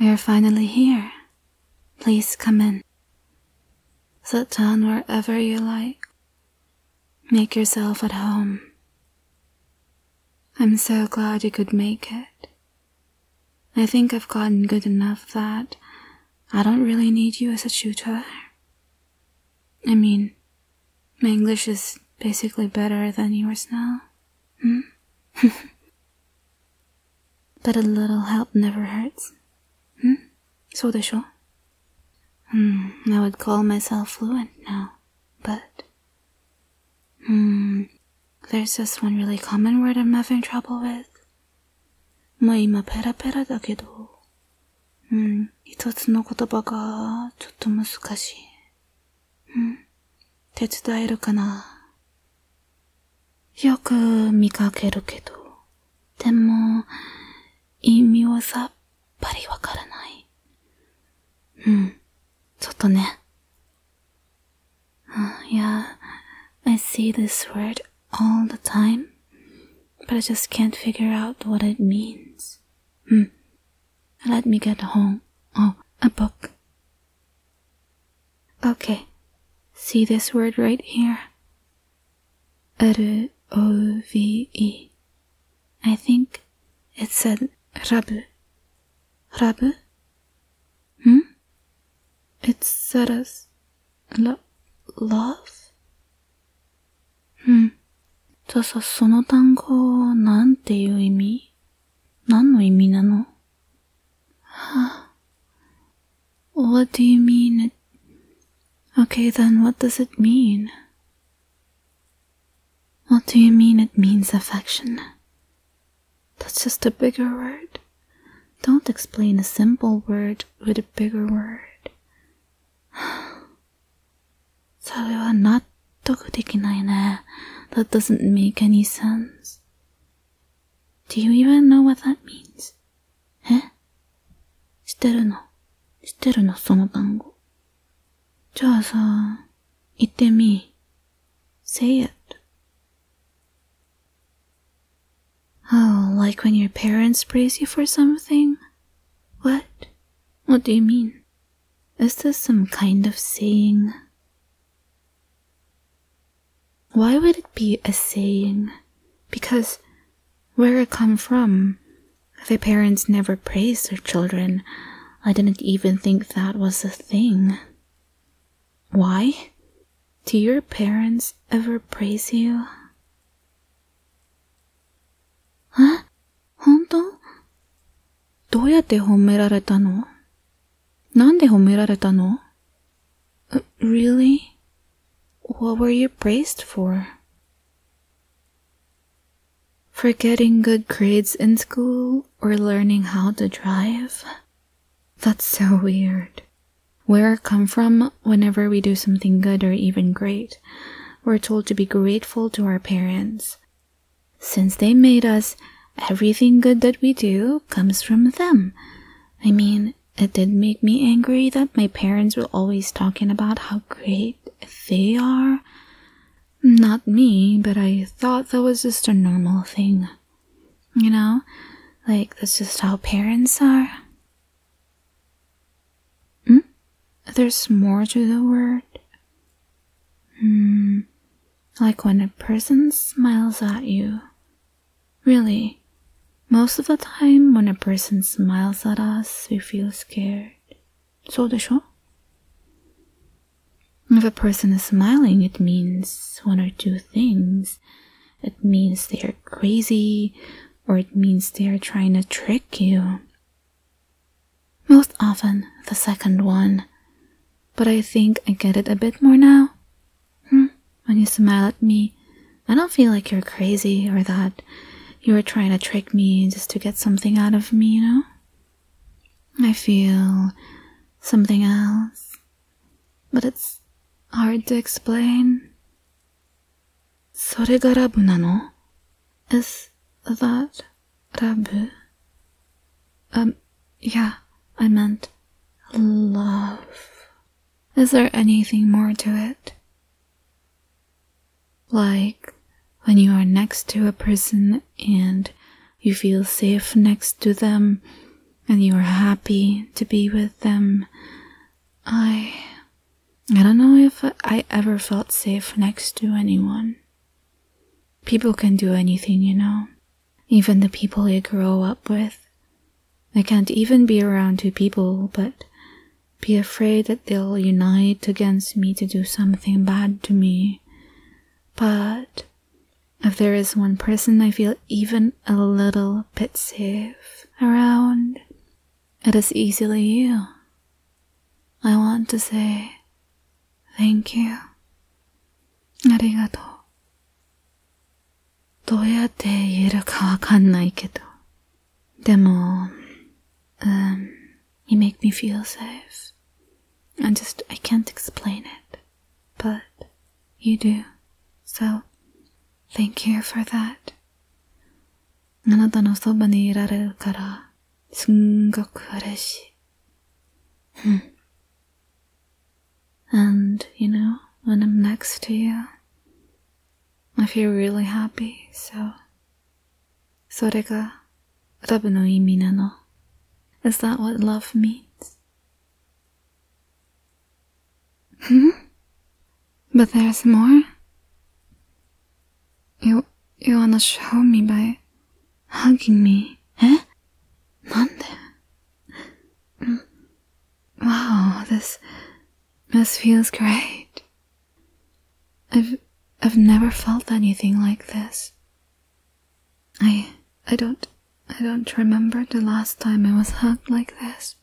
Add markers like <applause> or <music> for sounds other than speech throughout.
We are finally here. Please come in. Sit down wherever you like. Make yourself at home. I'm so glad you could make it. I think I've gotten good enough that I don't really need you as a tutor. I mean, my English is basically better than yours now. Hmm? <laughs> but a little help never hurts. Hmm? So de show. Hmm, I would call myself fluent now, but... there's just one really common word I'm having trouble with. 뭐 이마 페라페라 다게도 うん、一つの言葉が、ちょっと難しい。うん、手伝えるかな。よく見かけるけど、でも、意味はさっぱりわからない。うん、ちょっとね。Uh, yeah, I see this word all the time, but I just can't figure out what it means. うん、Let me get home. Oh, a book. Okay. See this word right here? R-O-V-E. I think it said rubble. Rubble? Hmm? It said us lo love? うん。じゃあさ、その単語、なんていう意味何の意味なのはあ。What do you mean Okay, then what does it mean? What do you mean it means affection? That's just a bigger word. Don't explain a simple word with a bigger word. それは納得できないね。That doesn't make any sense. Do you even know what that means? え知ってるの知ってるのその単語。じゃあさ、言ってみ。Say it. Oh, like when your parents praise you for something? What? What do you mean? Is this some kind of saying? Why would it be a saying? Because where I come from, the parents never praise their children. I didn't even think that was a thing. Why? Do your parents ever praise you? え本当どうやって褒められたのなんで褒められたの uh, ?Really? What were you praised for? For getting good grades in school or learning how to drive? That's so weird. Where I come from, whenever we do something good or even great, we're told to be grateful to our parents. Since they made us, everything good that we do comes from them. I mean, it did make me angry that my parents were always talking about how great they are. Not me, but I thought that was just a normal thing. You know, like that's just how parents are. Hmm? There's more to the word? Hmm. Like when a person smiles at you. Really, most of the time when a person smiles at us, we feel scared. So If a person is smiling, it means one or two things. It means they are crazy, or it means they are trying to trick you, most often the second one, but I think I get it a bit more now. Hmm, when you smile at me, I don't feel like you're crazy or that you are trying to trick me just to get something out of me, you know? I feel something else, but it's hard to explain. それがラブなの ?Is that ラブ Um, yeah, I meant love. Is there anything more to it? Like when you are next to a person and you feel safe next to them and you are happy to be with them. I I don't know if I ever felt safe next to anyone. People can do anything, you know. Even the people you grow up with. I can't even be around two people, but be afraid that they'll unite against me to do something bad to me. But if there is one person I feel even a little bit safe around, it is easily you. I want to say thank you. ありがとう。どうやって言えるかわかんないけど。でも、um, you make me feel safe. I just, I can't explain it. But you do. So, thank you for that. あなたのそばにいられるから、すんごく嬉しい。うん。And, you know, when I'm next to you, I feel really happy, so. それが、ラブの意味なの。Is that what love means? Hmm? But there's more? You, you wanna show me by hugging me, eh? Nande? Mm, wow, this, this feels great. I've, I've never felt anything like this. I, I don't, I don't remember the last time I was hugged like this.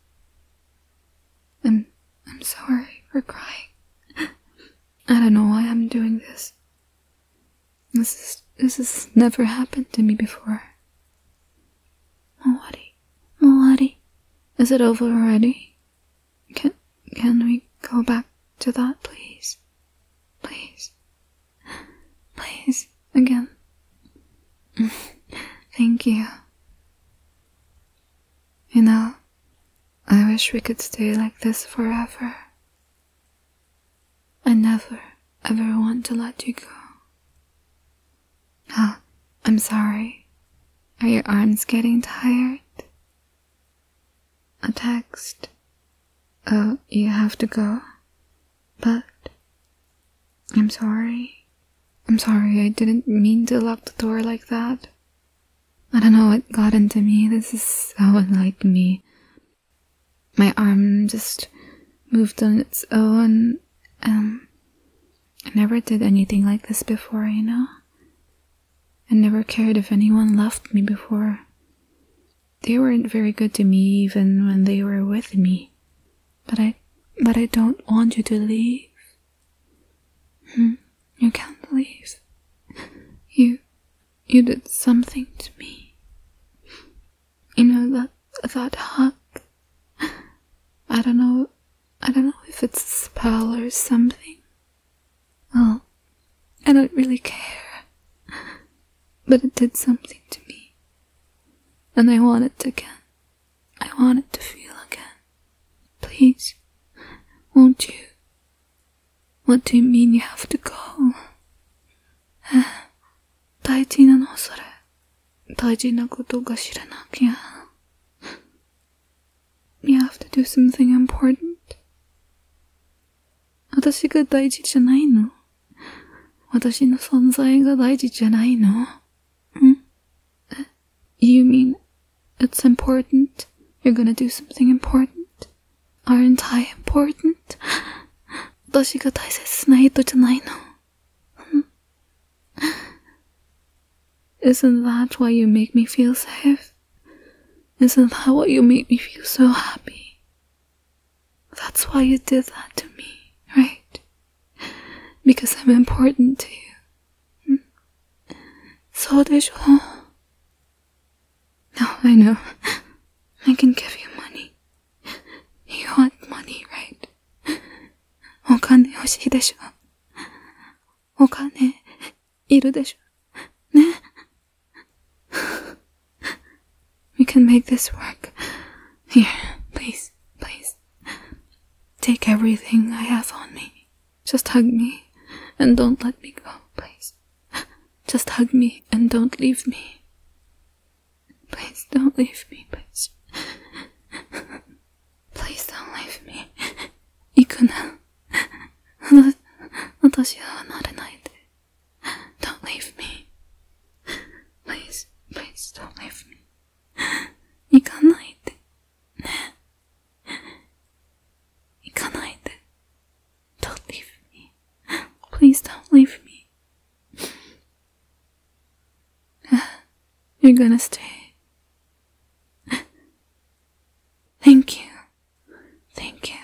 i I'm sorry for crying. I don't know why I'm doing this. This is, this has never happened to me before. Melody, Melody, is it over already? Can can we go back to that, please? Please, please again. <laughs> Thank you. You know, I wish we could stay like this forever. I never, ever want to let you go. Ah, I'm sorry. Are your arms getting tired? A text. Oh, you have to go. But I'm sorry. I'm sorry, I didn't mean to lock the door like that. I don't know what got into me. This is so unlike me. My arm just moved on its own. and um, I never did anything like this before, you know? I never cared if anyone loved me before. They weren't very good to me even when they were with me. But I but I don't want you to leave. Hmm, you can't believe you you did something to me. You know that that hug. I don't know. I don't know if it's a spell or something. Well, I don't really care. But it did something to me. And I want it again. I want it to feel again. Please, won't you? What do you mean you have to go? 大事なのそれ。大事なことが知らなきゃ。You eh, have to do something important. 私が大事じゃないの私の存在が大事じゃないのん you mean it's important? You're gonna do something important? Aren't I important? 私が大切な人じゃないの。Isn't <laughs> that why you make me feel safe? Isn't that why you make me feel so happy? That's why you did that to me, right? because I'm important to you. Hmm? So dejo. Now I know. I can give you money. You want money, right? We can make this work. Here, please, please. <laughs> Take everything I have on me. Just hug me and don't let me go, please. <laughs> Just hug me and don't leave me. Please don't leave me, please. <laughs> Please don't leave me. I, 行くな。私は離れないで。Don't leave me. Please, please don't leave me. <laughs> 行かないで。ね。行かないで。Don't <laughs> leave me. Please don't leave me. <laughs> You're gonna stay. Thank you. Thank you.